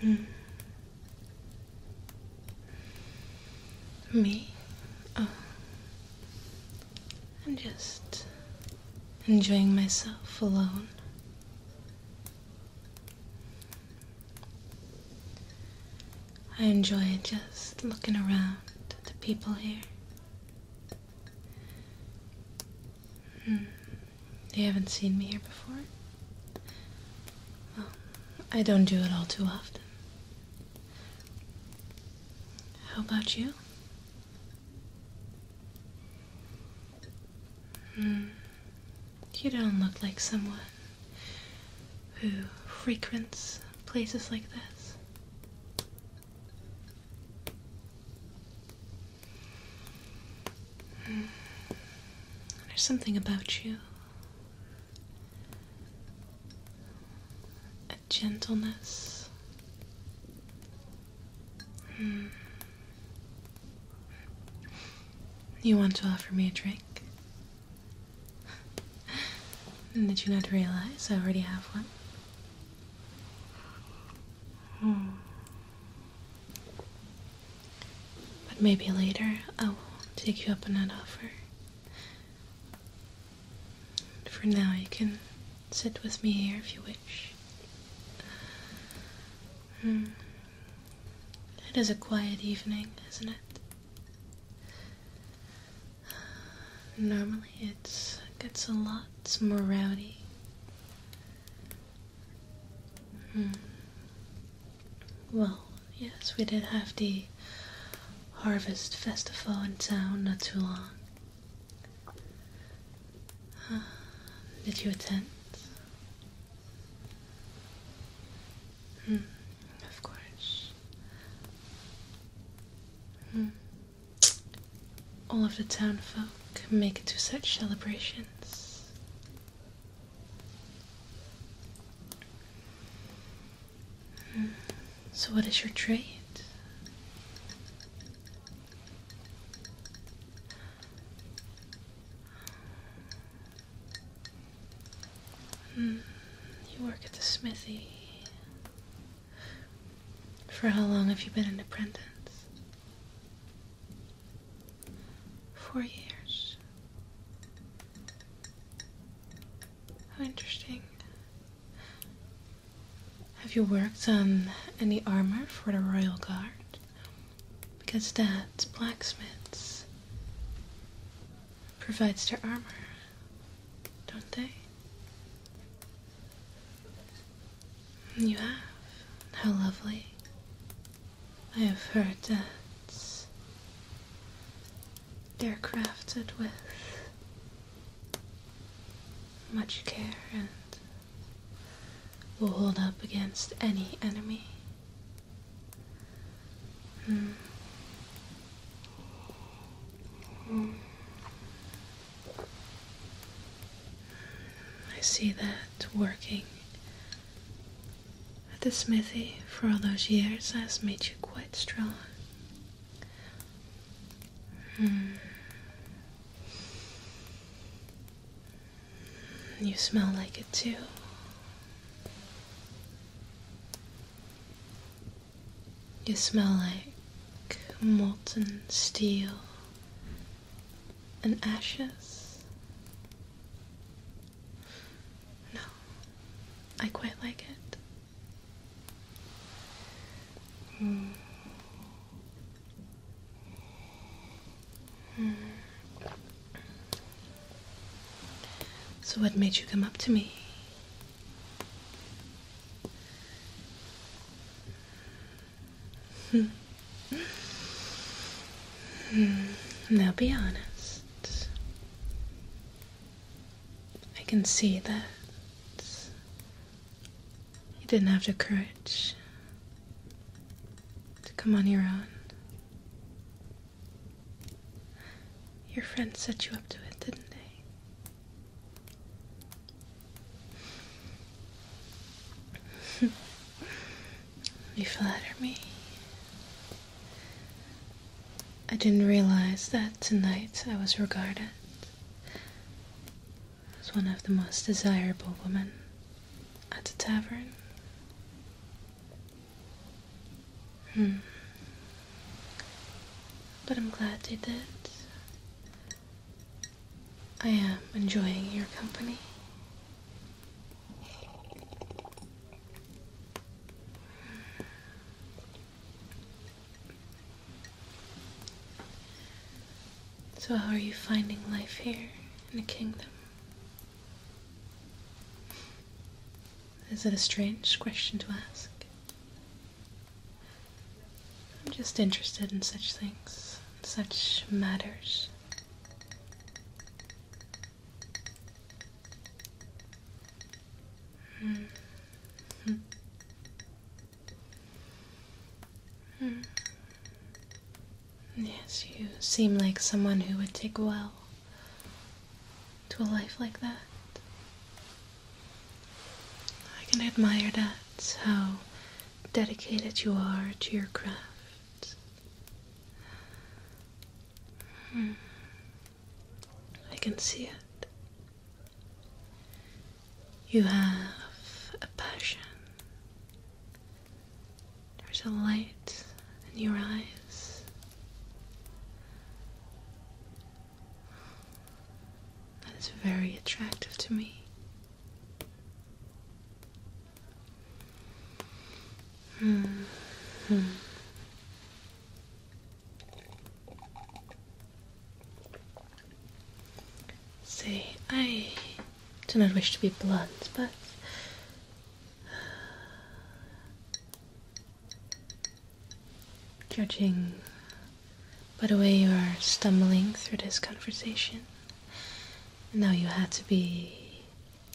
Hmm. Me? Oh. I'm just enjoying myself alone. I enjoy just looking around at the people here. Hmm. You haven't seen me here before? I don't do it all too often. How about you? Hmm. You don't look like someone who frequents places like this. There's something about you a gentleness. Hmm. You want to offer me a drink? Did you to realize I already have one? Hmm. But maybe later I will take you up on that offer. For now, you can sit with me here if you wish. Hmm. It is a quiet evening, isn't it? Normally it gets a lot more rowdy. Hmm. Well, yes, we did have the Harvest Festival in town not too long. Uh, did you attend? Hmm, of course. Hmm all of the town folk make it to such celebrations. Hmm. So, what is your trade? Hmm. You work at the smithy. For how long have you been an apprentice? Four years. How interesting. Have you worked on any armor for the Royal Guard? Because that's blacksmiths provides their armor, don't they? You have. How lovely. I have heard that they're crafted with much care and will hold up against any enemy. Mm. I see that working at the smithy for all those years has made you quite strong. Hmm. You smell like it too. You smell like molten steel and ashes. No, I quite like it. So, what made you come up to me? now be honest. I can see that you didn't have the courage to come on your own. Your friends set you up to it, didn't they? you flatter me. I didn't realize that tonight I was regarded as one of the most desirable women at the tavern. Hmm. But I'm glad you did. I am enjoying your company. So, how are you finding life here in the kingdom? Is it a strange question to ask? I'm just interested in such things, such matters. Hmm. Hmm. Hmm. Yes, you seem like someone who would take well to a life like that. I can admire that, how dedicated you are to your craft. Hmm. I can see it. You have a passion. There's a light in your eyes. That is very attractive to me. Mm -hmm. Say, I do not wish to be blunt, but judging by the way you are stumbling through this conversation. Now you had to be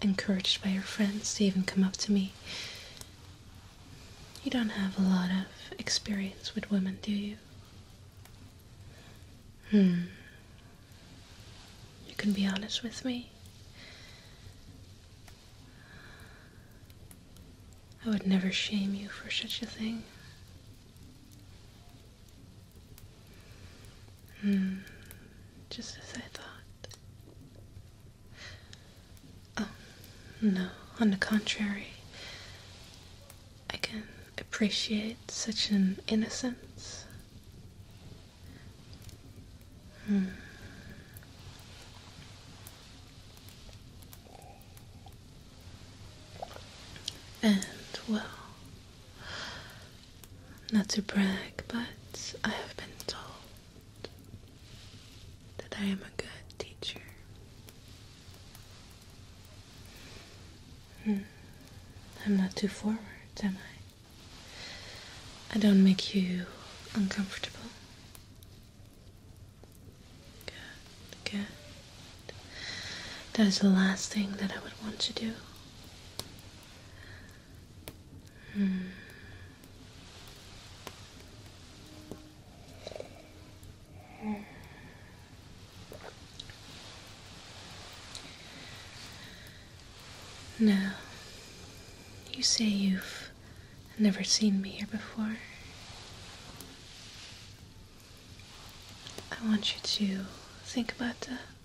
encouraged by your friends to even come up to me. You don't have a lot of experience with women, do you? Hmm. You can be honest with me. I would never shame you for such a thing. Hmm, just as I thought. Oh, no, on the contrary, I can appreciate such an innocence. Hmm. And, well, not to brag, but I have been told that I am a good teacher. Hmm. I'm not too forward, am I? I don't make you uncomfortable. That is the last thing that I would want to do. Hmm. hmm. Now, you say you've never seen me here before. I want you to think about that.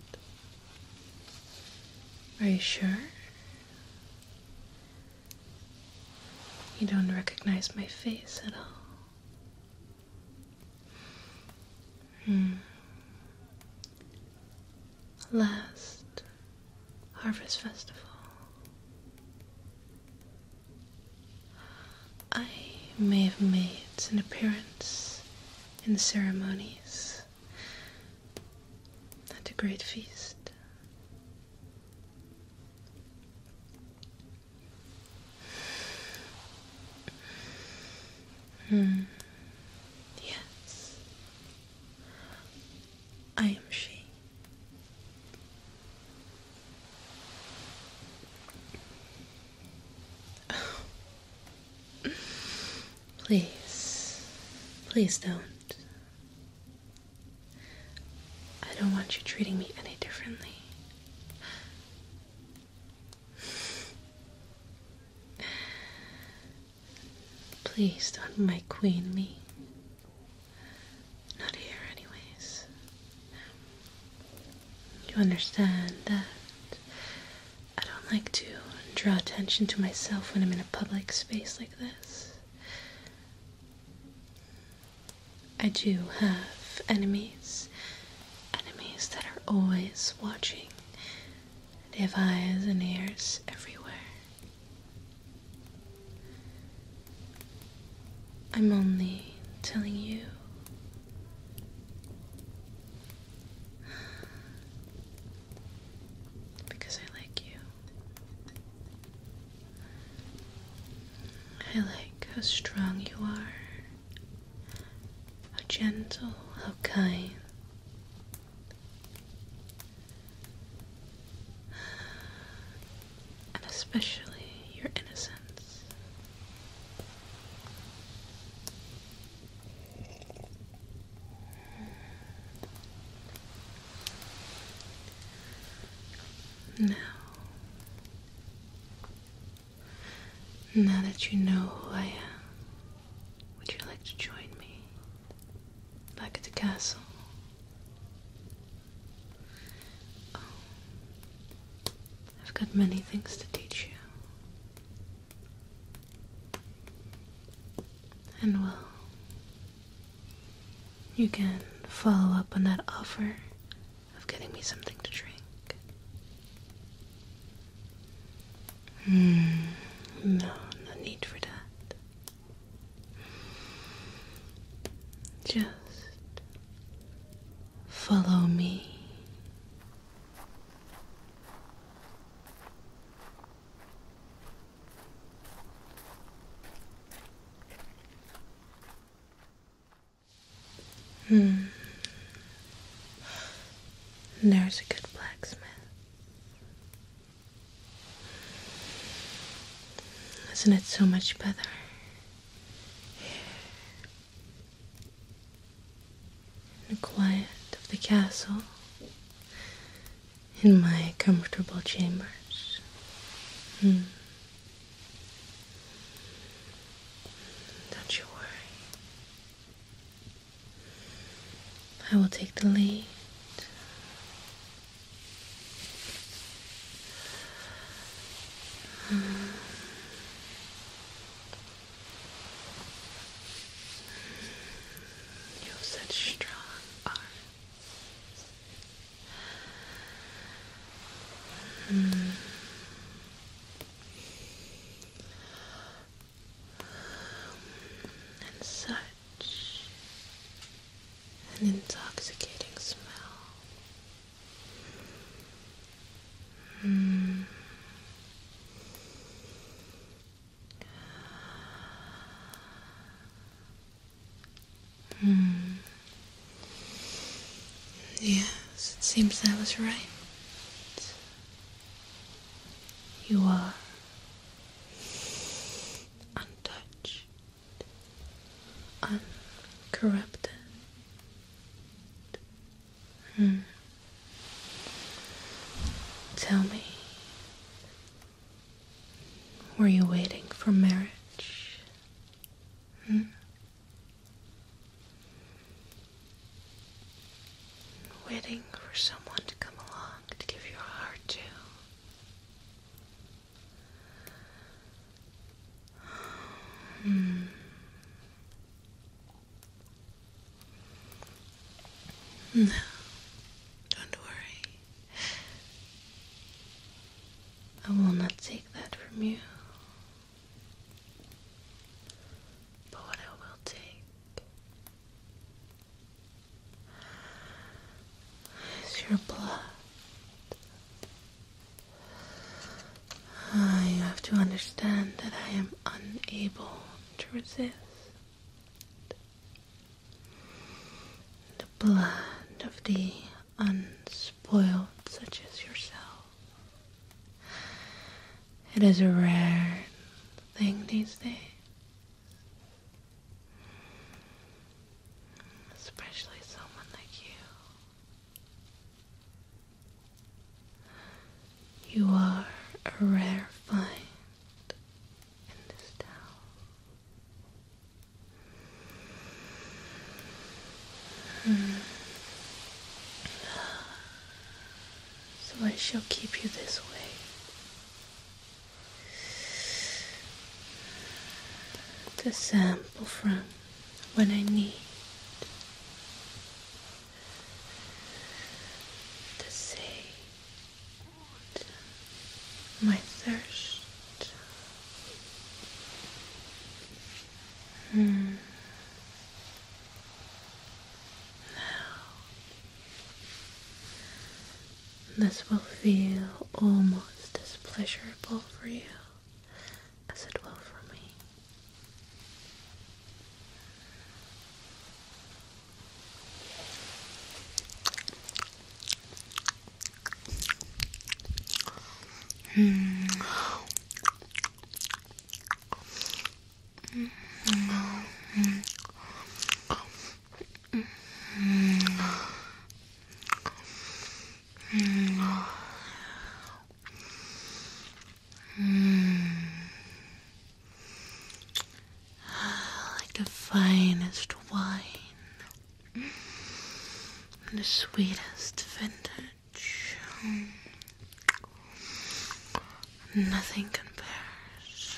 Are you sure? You don't recognize my face at all. Hmm. Last Harvest Festival. I may have made an appearance in the ceremonies at the great feast. Hmm. Yes. I am she. Please, please don't. I don't want you treating me any differently. Please don't make queen me. Not here, anyways. You understand that I don't like to draw attention to myself when I'm in a public space like this. I do have enemies. Enemies that are always watching. They have eyes and ears everywhere. I'm only telling you. Because I like you. I like how strong you are, how gentle, how kind and especially your innocence. Now, now that you know who I am, would you like to join me back at the castle? Oh. I've got many things to teach you. And well, you can follow up on that offer of getting me something to drink. Hmm. no, no need for that. Just follow me. Hmm. There's a good blacksmith. Isn't it so much better? In the quiet of the castle, in my comfortable chambers. Hmm. Don't you worry. I will take the lead. You have such strong arms. Mm. And such an intoxicating smell. Mm. Mm. Yes, it seems I was right. You are untouched uncorrupted. Hmm. Tell me, were you waiting for marriage? Hmm? Waiting for someone to come along to give your heart to. No, don't worry. I will not take that from you. But what I will take it's your blood. Ah, you have to understand that I am unable to resist. The blood of the unspoiled, such as yourself. It is a rare thing these days. Especially someone like you. You are a rare find in this town. Hmm. So I shall keep you this way to sample from when I need to sate my thirst. Mm. Now this will feel almost as pleasurable for you as it will for me. Like the finest wine, the sweetest vintage. Nothing compares.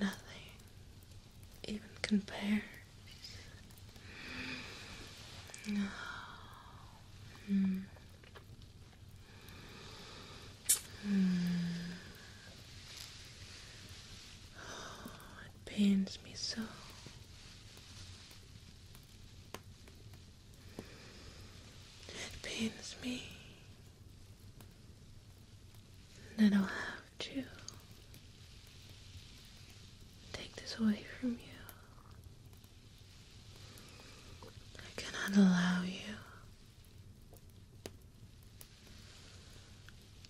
Nothing even compares. Oh. Mm. Mm. Oh, it pains me so. It pains me that I'll have to take this away from you. I cannot allow you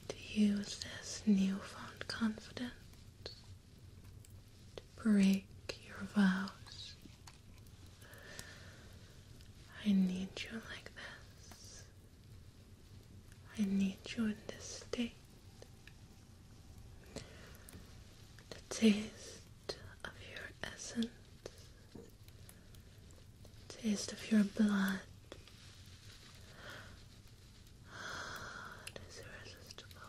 to use this newfound confidence to break your vows. I need you like this. I need you in this state. The taste of your essence, taste of your blood. It is irresistible.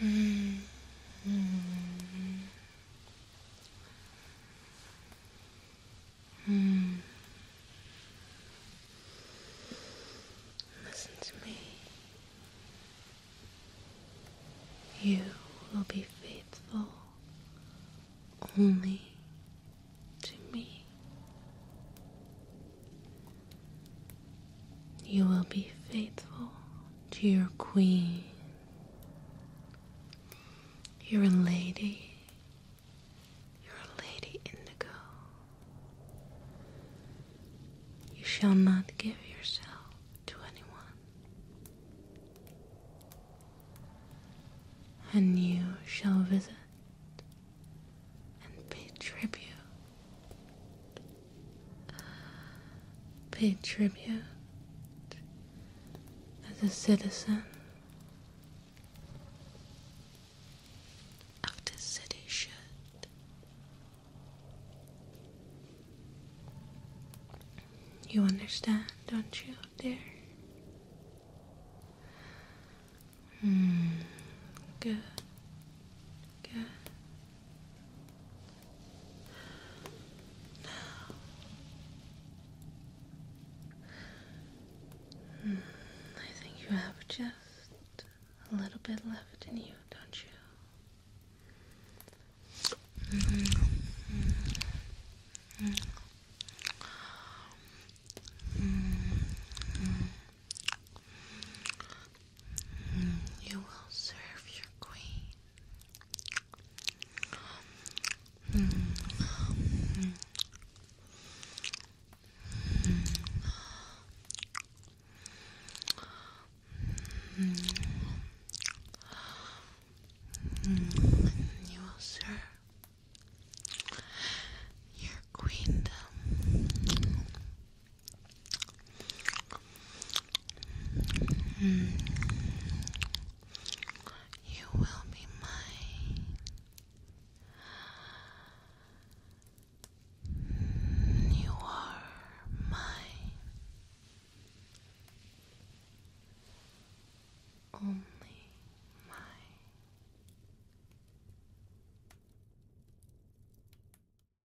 Listen to me. You will be faithful only to me. You will be faithful to your queen. You're a lady. You're a lady indigo. You shall not give yourself to anyone. And you shall visit and pay tribute Pay tribute as a citizen of the city should. You understand, don't you, dear? Mm, good, good. Hmm, I think you have just a little bit left in you, don't you? You will serve your queen. You will serve your queendom. You will be mine. You are mine. Only mine.